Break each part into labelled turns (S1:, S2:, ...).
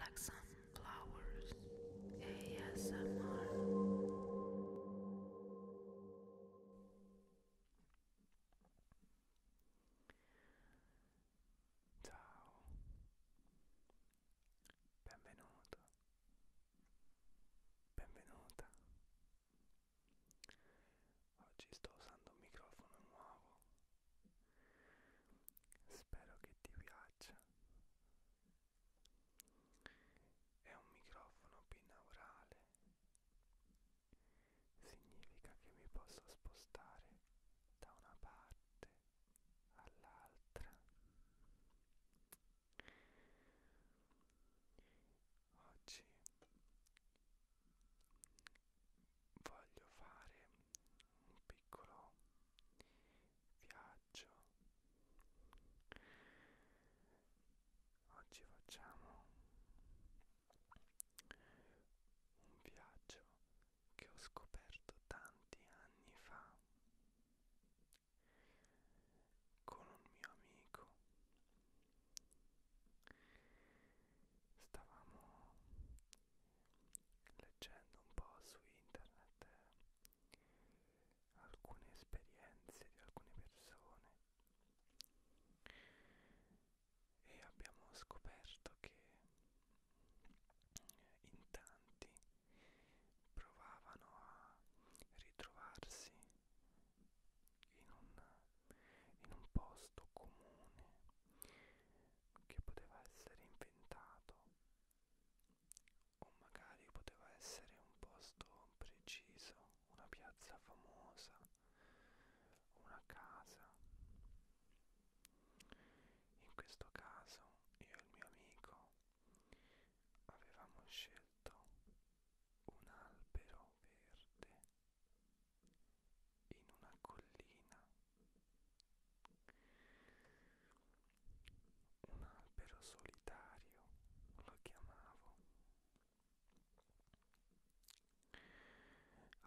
S1: like sunflowers ASMR Ciao Benvenuto Benvenuta Oggi sto usando microfono nuovo spero che ti piaccia è un microfono binaurale significa che mi posso spostare da una parte all'altra oggi voglio fare un piccolo viaggio oggi facciamo un viaggio che ho scoperto tanti anni fa con un mio amico stavamo leggendo un po' su internet alcune esperienze di alcune persone e abbiamo scoperto che in tanti provavano a ritrovarsi in un, in un posto comune che poteva essere inventato o magari poteva essere un posto preciso, una piazza famosa, una casa. In questo caso io e il mio amico avevamo scelto un albero verde in una collina un albero solitario lo chiamavo.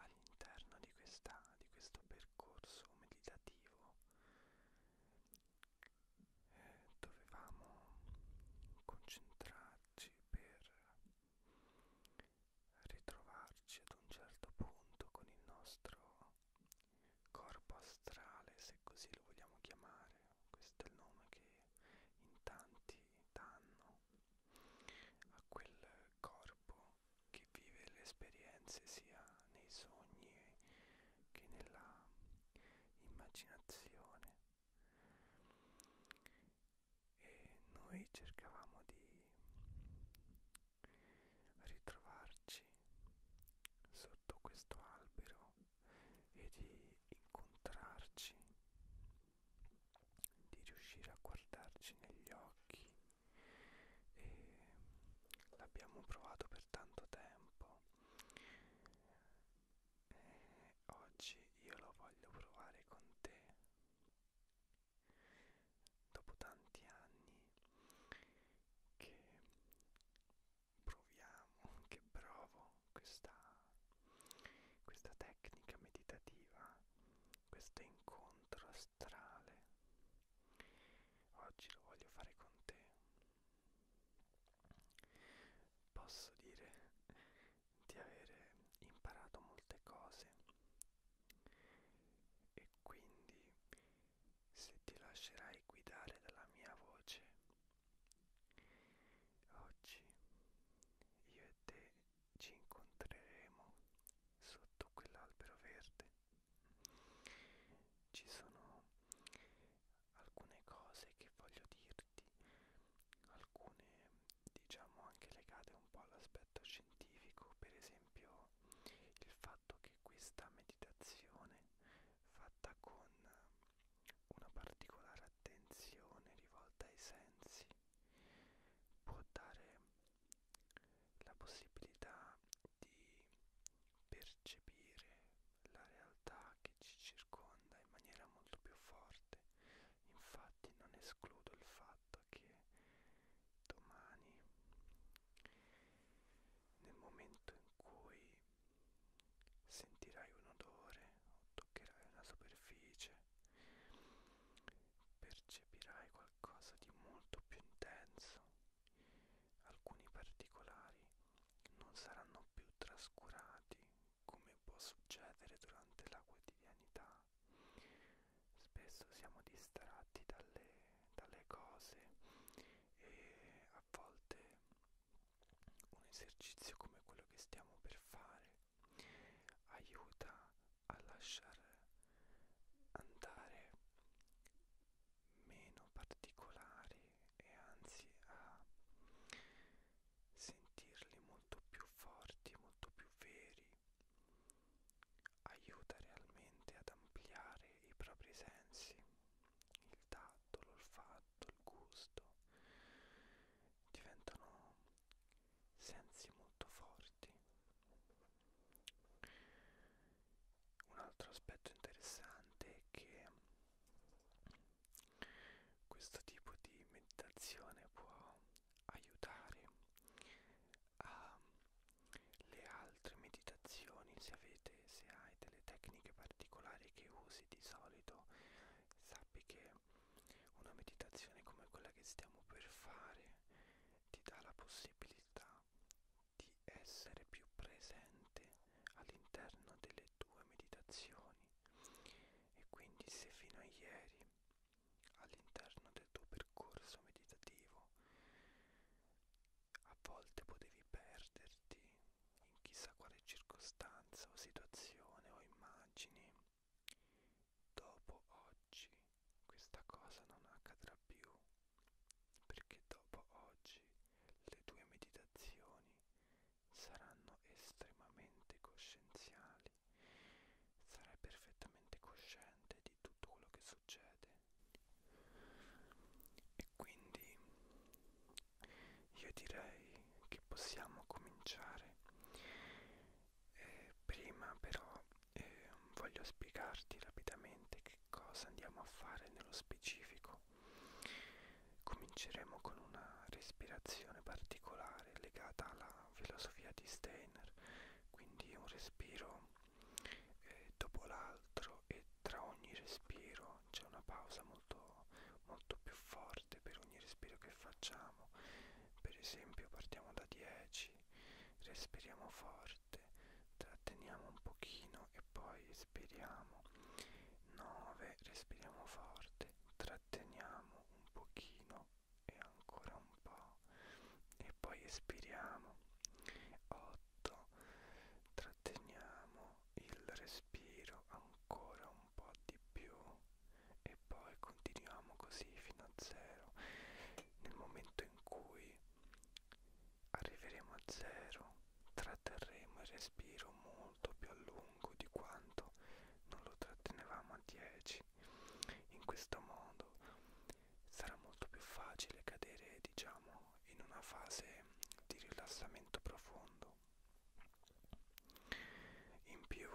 S1: All'interno di, di questo percorso meditativo eh, dovevamo concentrarci per ritrovarci ad un certo punto con il nostro corpo astrale, se così lo vogliamo chiamare, questo è il nome che in tanti danno a quel corpo che vive le esperienze sia nei sogni che nella immaginazione e noi cercavamo di ritrovarci sotto questo albero e di incontrarci, di riuscire a guardarci negli occhi e l'abbiamo provato per tanto tempo e oggi io lo voglio provare con te dopo tanti anni che proviamo, che provo questa, questa tecnica meditativa, questo incontro astrale. Oggi lo voglio fare con te. Posso dire di avere imparato molte cose e quindi se ti lascerai guidare dalla mia voce, oggi io e te ci incontreremo sotto quell'albero verde. Ci sono alcune cose che voglio dirti, alcune diciamo anche legate un po' all'aspetto scientifico, per esempio il fatto fatto che questa meditazione fatta con una particolare attenzione rivolta ai sensi può dare la possibilità di percepire la realtà che ci circonda in maniera molto più forte infatti non escludo il fatto perché domani nel momento in cui sentirai un odore o toccherai una superficie percepirai qualcosa di molto più intenso alcuni particolari non saranno più trascurati come può succedere durante la quotidianità spesso siamo distratti dalle, dalle cose e a volte un esercizio come quello che stiamo per fare aiuta a lasciare andare meno particolari e anzi a sentirli molto più forti, molto più veri aiuta realmente ad ampliare i propri sensi, il tatto, l'olfatto, il gusto, diventano sensi molto forti. Un altro aspetto interessante è che questo tipo di meditazione può aiutare alle ehm, altre meditazioni se avete se hai delle tecniche particolari che usi di solito sappi che una meditazione come quella che stiamo per fare ti dà la possibilità di essere più presente all'interno delle tue meditazioni e quindi se fino a ieri all'interno del tuo percorso meditativo a volte potevi perderti in chissà quale circostanza o situazione o immagini. Dopo oggi questa cosa non accadrà più, perché dopo oggi le tue meditazioni saranno estremamente coscienziali, sarai perfettamente cosciente di tutto quello che succede e quindi io direi che possiamo cominciare. Eh, prima però eh, voglio spiegarti rapidamente che cosa andiamo a fare nello specifico. Cominceremo con una respirazione particolare legata alla filosofia di Steiner, quindi un respiro eh, dopo l'altro e tra ogni respiro c'è una pausa molto, molto più forte per ogni respiro che facciamo. Per esempio partiamo da 10, respiriamo forte, tratteniamo un pochino e poi espiriamo. 9, respiriamo forte, tratteniamo un pochino e ancora un po' e e poi espiriamo 8 tratteniamo il respiro ancora un po' di più e poi continuiamo così fino a 0 nel momento in cui arriveremo a 0 tratterremo il respiro molto più a lungo di quanto non lo trattenevamo a 10 in questo modo sarà molto più facile cadere diciamo in una fase di rilassamento profondo in più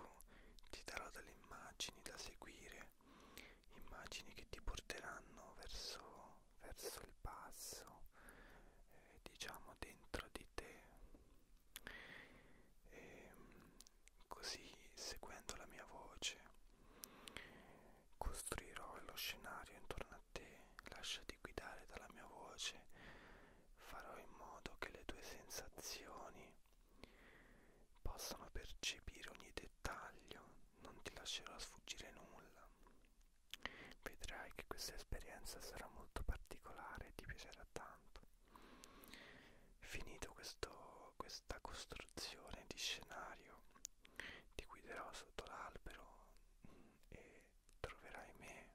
S1: ti darò delle immagini da seguire immagini che ti porteranno verso, verso il passo eh, diciamo dentro di te e, ehm, così seguendo la mia voce Costruirò lo scenario intorno a te, lasciati guidare dalla mia voce, farò in modo che le tue sensazioni possano percepire ogni dettaglio, non ti lascerò sfuggire nulla. Vedrai che questa esperienza sarà molto particolare e ti piacerà tanto. Finito questo, questa costruzione di scenario, ti guiderò sotto l'albero e troverai me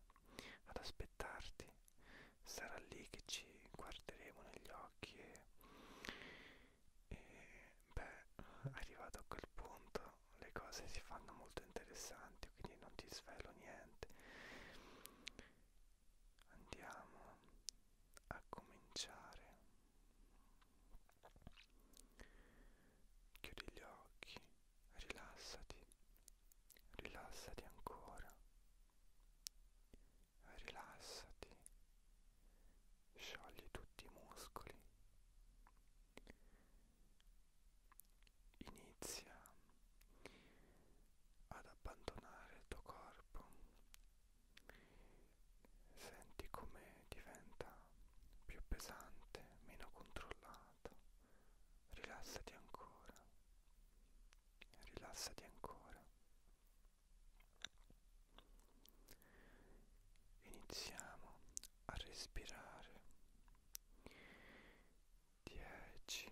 S1: ad aspettarti. Sarà lì che ci guarderemo negli occhi e, e beh, arrivato a quel punto le cose si fanno molto interessanti, quindi non ti svelo niente. Andiamo a cominciare. Chiudi gli occhi, rilassati, rilassati ancora, rilassati, sciogli tutti i muscoli, inizia ad abbandonare il tuo corpo Senti come diventa più pesante, meno controllata. Rilassati ancora. Rilassati ancora. Iniziamo a respirare. 10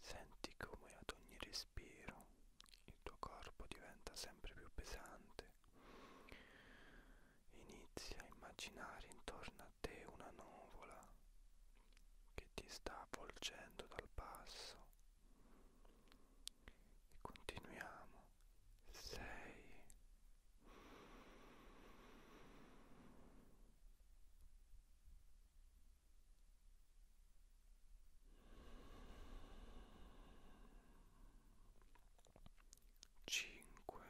S1: Senti come ad ogni respiro il tuo corpo diventa sempre più pesante. Inizia a immaginare intorno a te una nuvola che ti sta avvolgendo dal basso e continuiamo sei cinque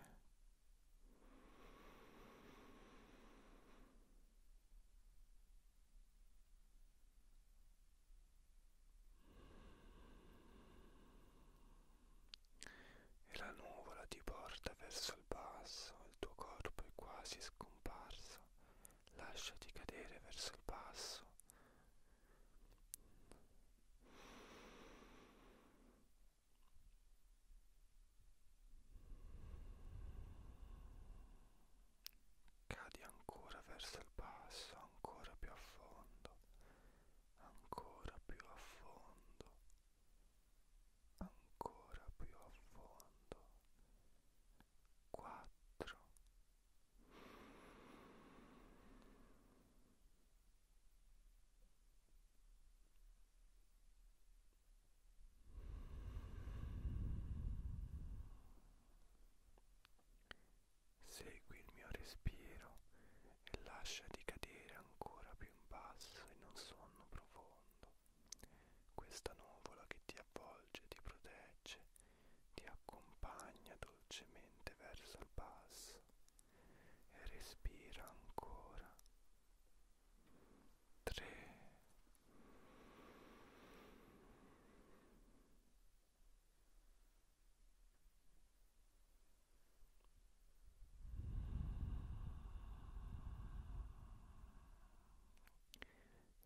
S1: e la nuvola ti porta verso il basso, il tuo corpo è quasi scomparso, lasciati cadere verso il basso cadi ancora verso il basso, ancora più a fondo, ancora più a fondo, ancora più a fondo. 4 3 2 1 Segui il mio respiro e lasciati cadere ancora più in basso in un sonno profondo. Questa nuvola che ti avvolge, ti protegge, ti accompagna dolcemente verso il basso e respira ancora. 3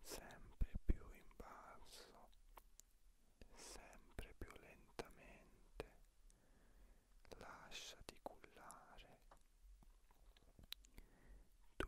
S1: sempre più in basso, sempre più lentamente, lasciati cullare. Due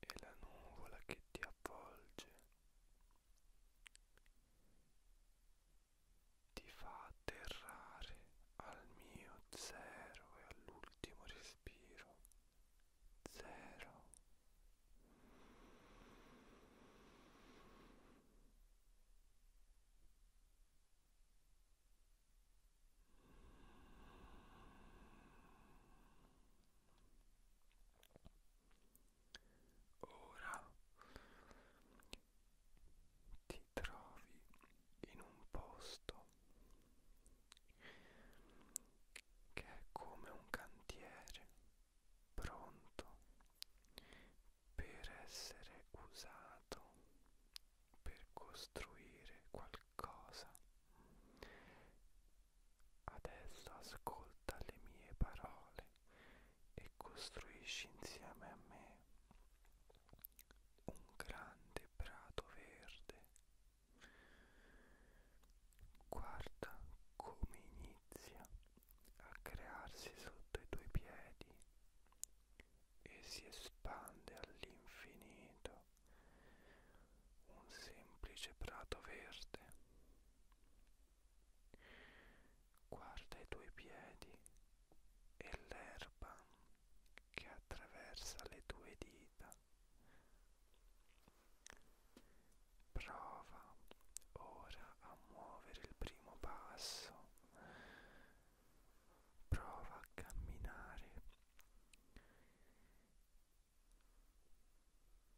S1: e la nuvola che ti avvolge ti fa atterrare al mio zero e all'ultimo respiro zero Ora ti trovi in un posto che è come un cantiere pronto per essere usato per costruire qualcosa. Adesso ascolta le mie parole e costruisci insieme a me un grande prato verde. Guarda come inizia a crearsi sotto i tuoi piedi e si espande all'infinito un semplice prato verde. Guarda i tuoi piedi e l'erba che attraversa le tue dita. Prova ora a muovere il primo passo prova a camminare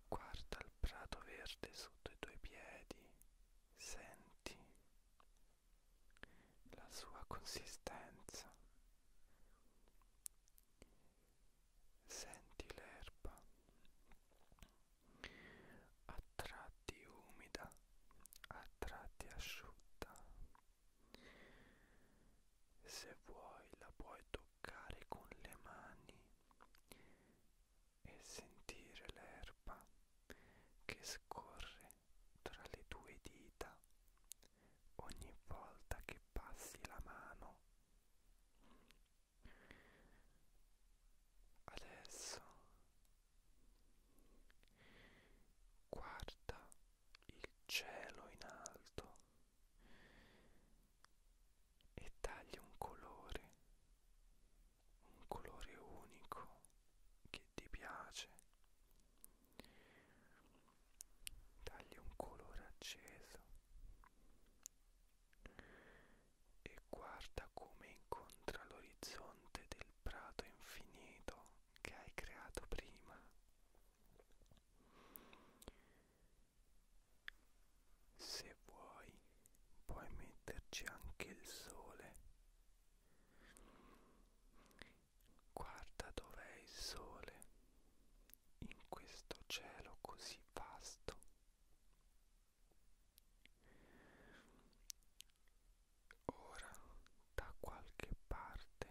S1: guarda il prato verde sotto i tuoi piedi senti la sua consistenza senti l'erba a tratti umida, a tratti asciutta. Se vuoi la puoi toccare con le mani e sentire l'erba che scorre tra le tue dita ogni volta che passi la mano. Adesso Guarda il cielo in alto e taglia un colore, un colore unico che ti piace. Taglia un colore acceso e guarda da come incontra l'orizzonte del prato infinito che hai creato prima. Se vuoi puoi metterci anche il sole. Guarda dov'è il sole in questo cielo così vasto. Ora da qualche parte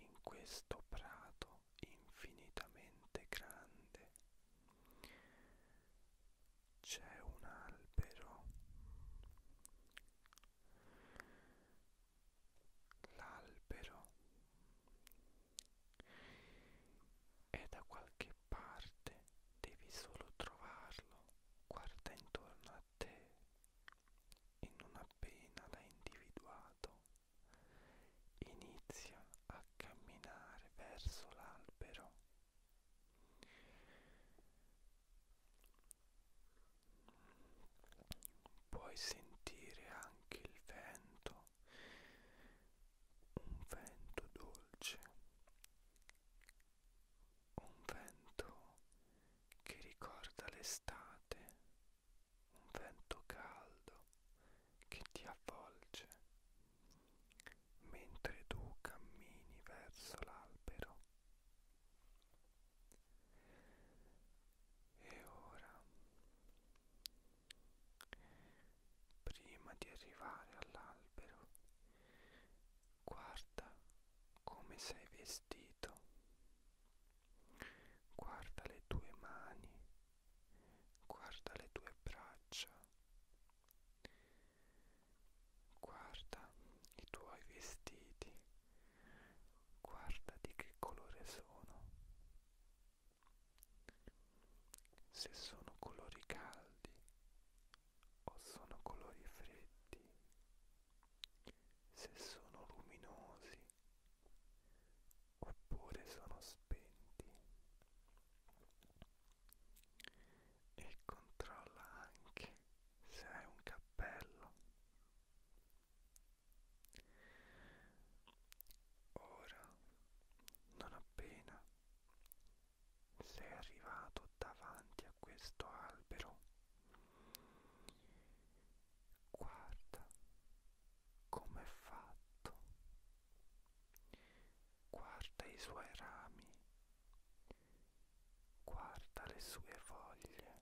S1: in questo prato infinitamente grande c'è un albero. L'albero è da qualche parte, devi solo trovarlo guarda intorno a te e non appena l'hai individuato inizia a camminare verso l'albero puoi sentire anche il vento un vento dolce un vento che ricorda l'estate, un vento caldo che ti avvolge, mentre tu cammini verso l'albero. E ora, prima di arrivare all'albero, Guarda come sei vestito. Guarda le tue mani. Guarda le tue braccia. Guarda i tuoi vestiti. Guarda di che colore sono. Se sono colori caldi o sono colori freddi, se sono luminosi oppure sono spenti e controlla anche se hai un cappello. Ora, non appena sei arrivato davanti a questo albero guarda com'è fatto guarda i suoi rami guarda le sue foglie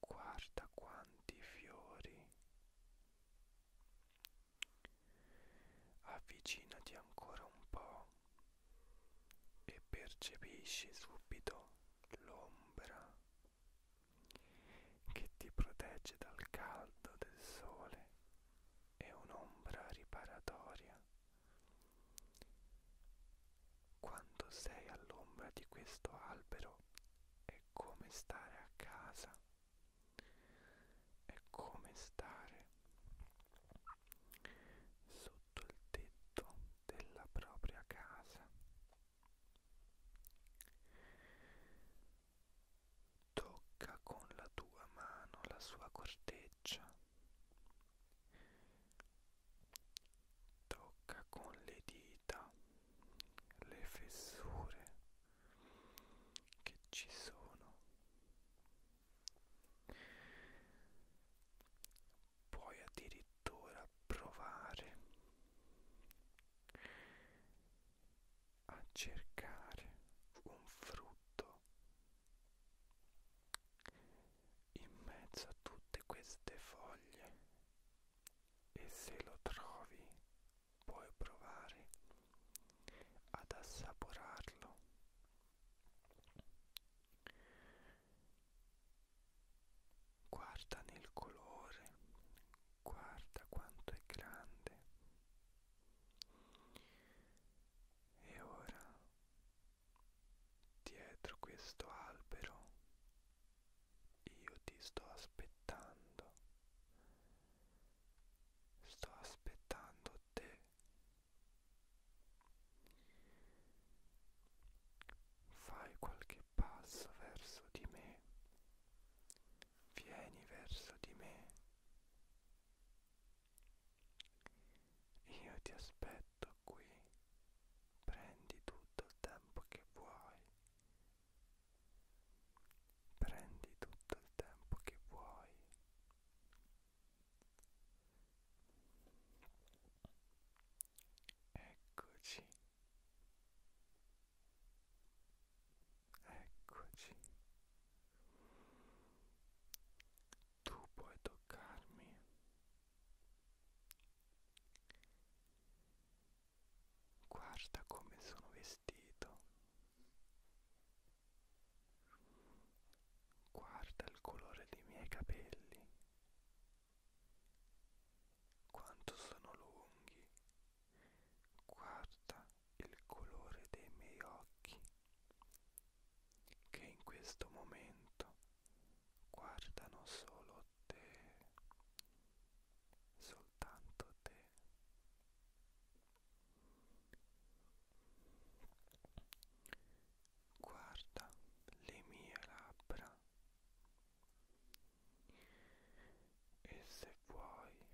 S1: guarda quanti fiori avvicinati ancora un po' e percepisci subito l'ombra che ti protegge dal caldo del sole è un'ombra riparatoria quando sei all'ombra di questo albero è come stare a casa è come stare sotto il tetto della propria casa tocca con la tua mano la sua corteccia tocca con le dita le fessure che ci sono puoi addirittura provare a cercare un frutto in mezzo a tutte queste foglie e se lo trovi puoi provare ad assaporarlo Guarda nel colore, guarda quanto è grande. E ora, dietro questo albero, io ti sto aspettando. Sto aspettando te Fai qualche passo verso di me. Vieni verso di me. Io ti aspetto qui. Prendi tutto il tempo che vuoi. Prendi tutto il tempo che vuoi. Eccoci. Eccoci. Tu puoi toccarmi. Guarda come sono vestito. Guarda il colore dei miei capelli. Quanto sono lunghi. Guarda il colore dei miei occhi. Che in questo momento guardano solo te. Soltanto te. Guarda le mie labbra e se vuoi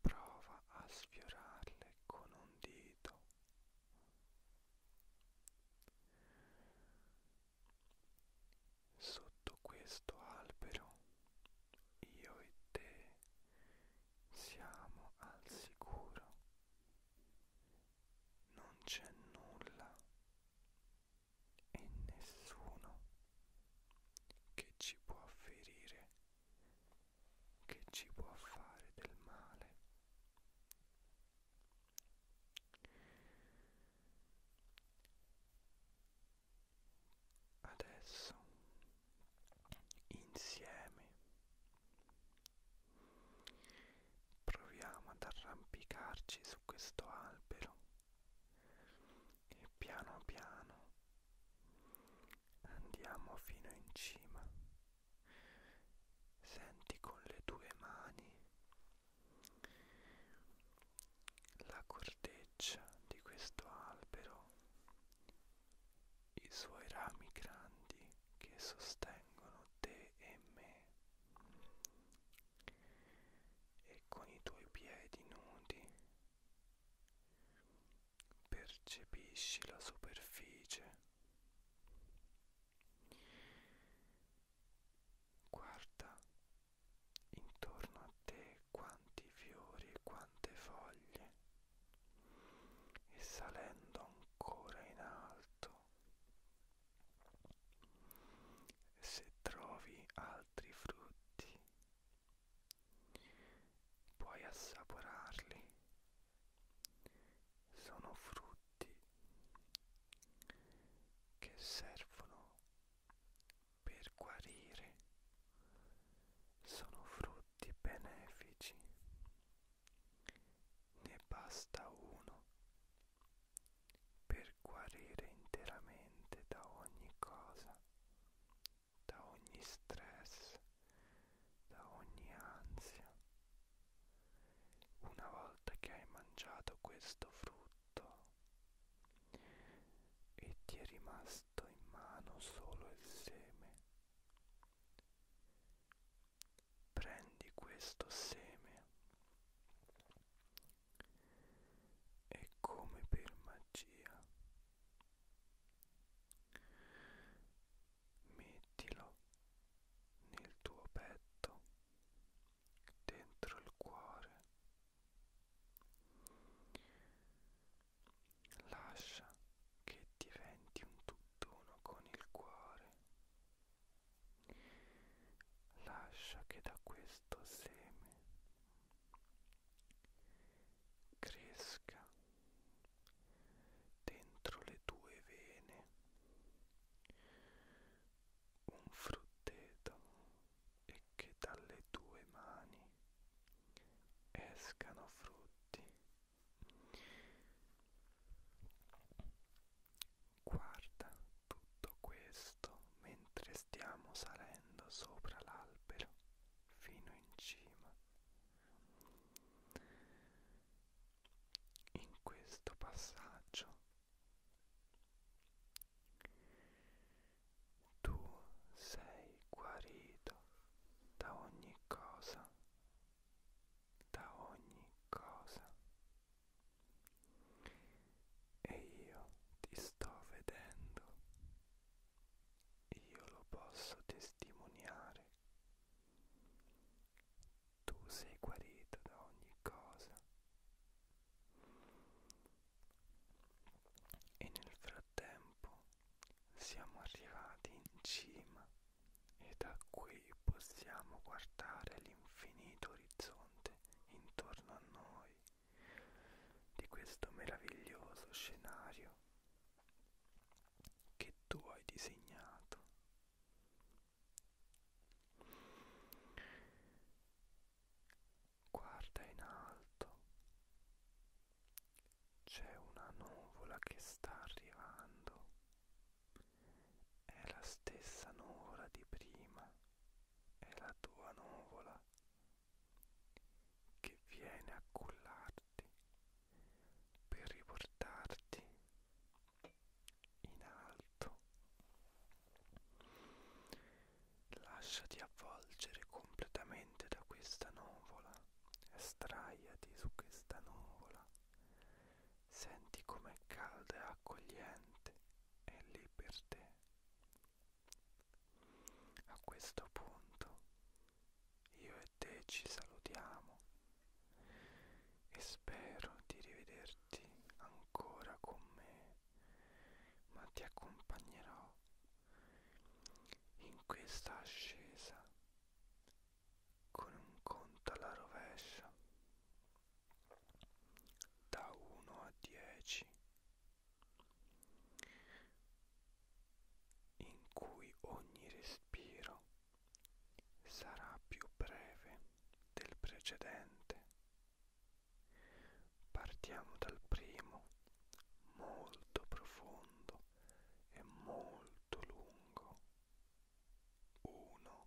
S1: prova a sfiorarle con un dito. Sotto questo albero io e te siamo al sicuro, non c'è nulla e nessuno che ci può ferire, che ci può fare del male. Adesso insieme proviamo ad arrampicarci su questo albero e piano piano andiamo fino in cima senti con le tue mani la corteccia di questo albero i suoi rami grandi che sostengono te e me e con i tuoi piedi nudi percepisci la superficie guarda intorno a te quanti fiori e quante foglie e salendo ancora in alto se trovi altri frutti puoi assaporarli sono frutti che servono per guarire sono frutti benefici, ne basta uno per guarire interamente da ogni cosa, da ogni stress, da ogni ansia. Una volta che hai mangiato questo frutto e ti è rimasto in mano solo il seme, Prendi questo seme e come per magia mettilo nel tuo petto, dentro il cuore lascia che diventi un tutt'uno con il cuore, lascia che da questo seme cresca dentro le tue vene un frutteto e che dalle tue mani escano frutti Guarda tutto questo mentre stiamo salendo sopra l'albero fino in cima. In questo passaggio tu sei guarito da ogni cosa, da ogni cosa. E io ti sto vedendo, io lo posso testimoniare. Tu sei guarito da ogni cosa. E nel frattempo siamo arrivati in cima e da qui possiamo guardare l'infinito orizzonte intorno a noi di questo meraviglioso scenario che tu hai disegnato. Guarda in alto c'è una nuvola che sta arrivando. È la stessa nuvola di prima. È la tua nuvola che viene a cullarti per riportarti in alto. Lasciati avvolgere completamente da questa nuvola Straiati su questa nuvola, senti com'è calda e accogliente, è lì per te. A questo punto io e te ci salutiamo e spero di rivederti ancora con me, ma ti accompagnerò in questa ascesa con un conto alla rovescia da 1 a 10 in cui ogni respiro sarà più breve del precedente. Partiamo dal primo molto profondo è molto lungo. Uno. Due.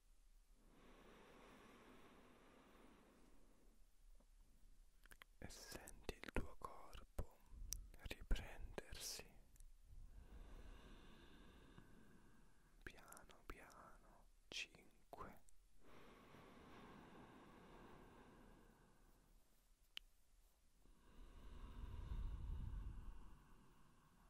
S1: e senti il tuo corpo riprendersi piano piano 5 4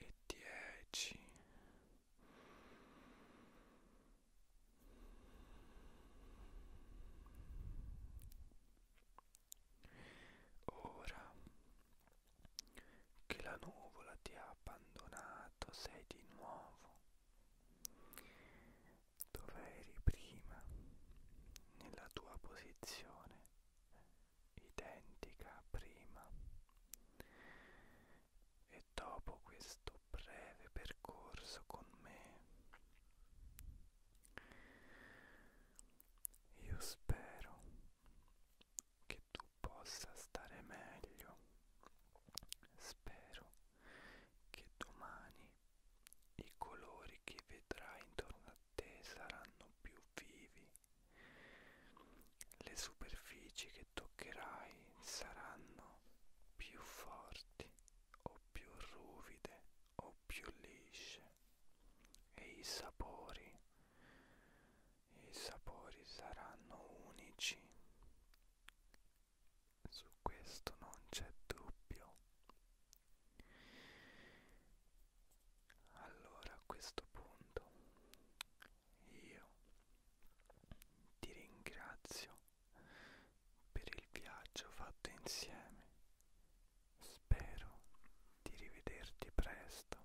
S1: e dieci ora che la nuvola ti ha abbandonato sei di nuovo dove eri prima nella tua posizione identica a prima e dopo questo breve percorso con me io spero che tu possa stare meglio spero che domani i colori che vedrai intorno a te saranno più vivi, le superfici che toccherai saranno più forti o più ruvide o più lisce e i sapori i sapori saranno unici su questo non c'è dubbio. Allora a questo punto io ti ringrazio per il viaggio fatto insieme. Spero di rivederti presto.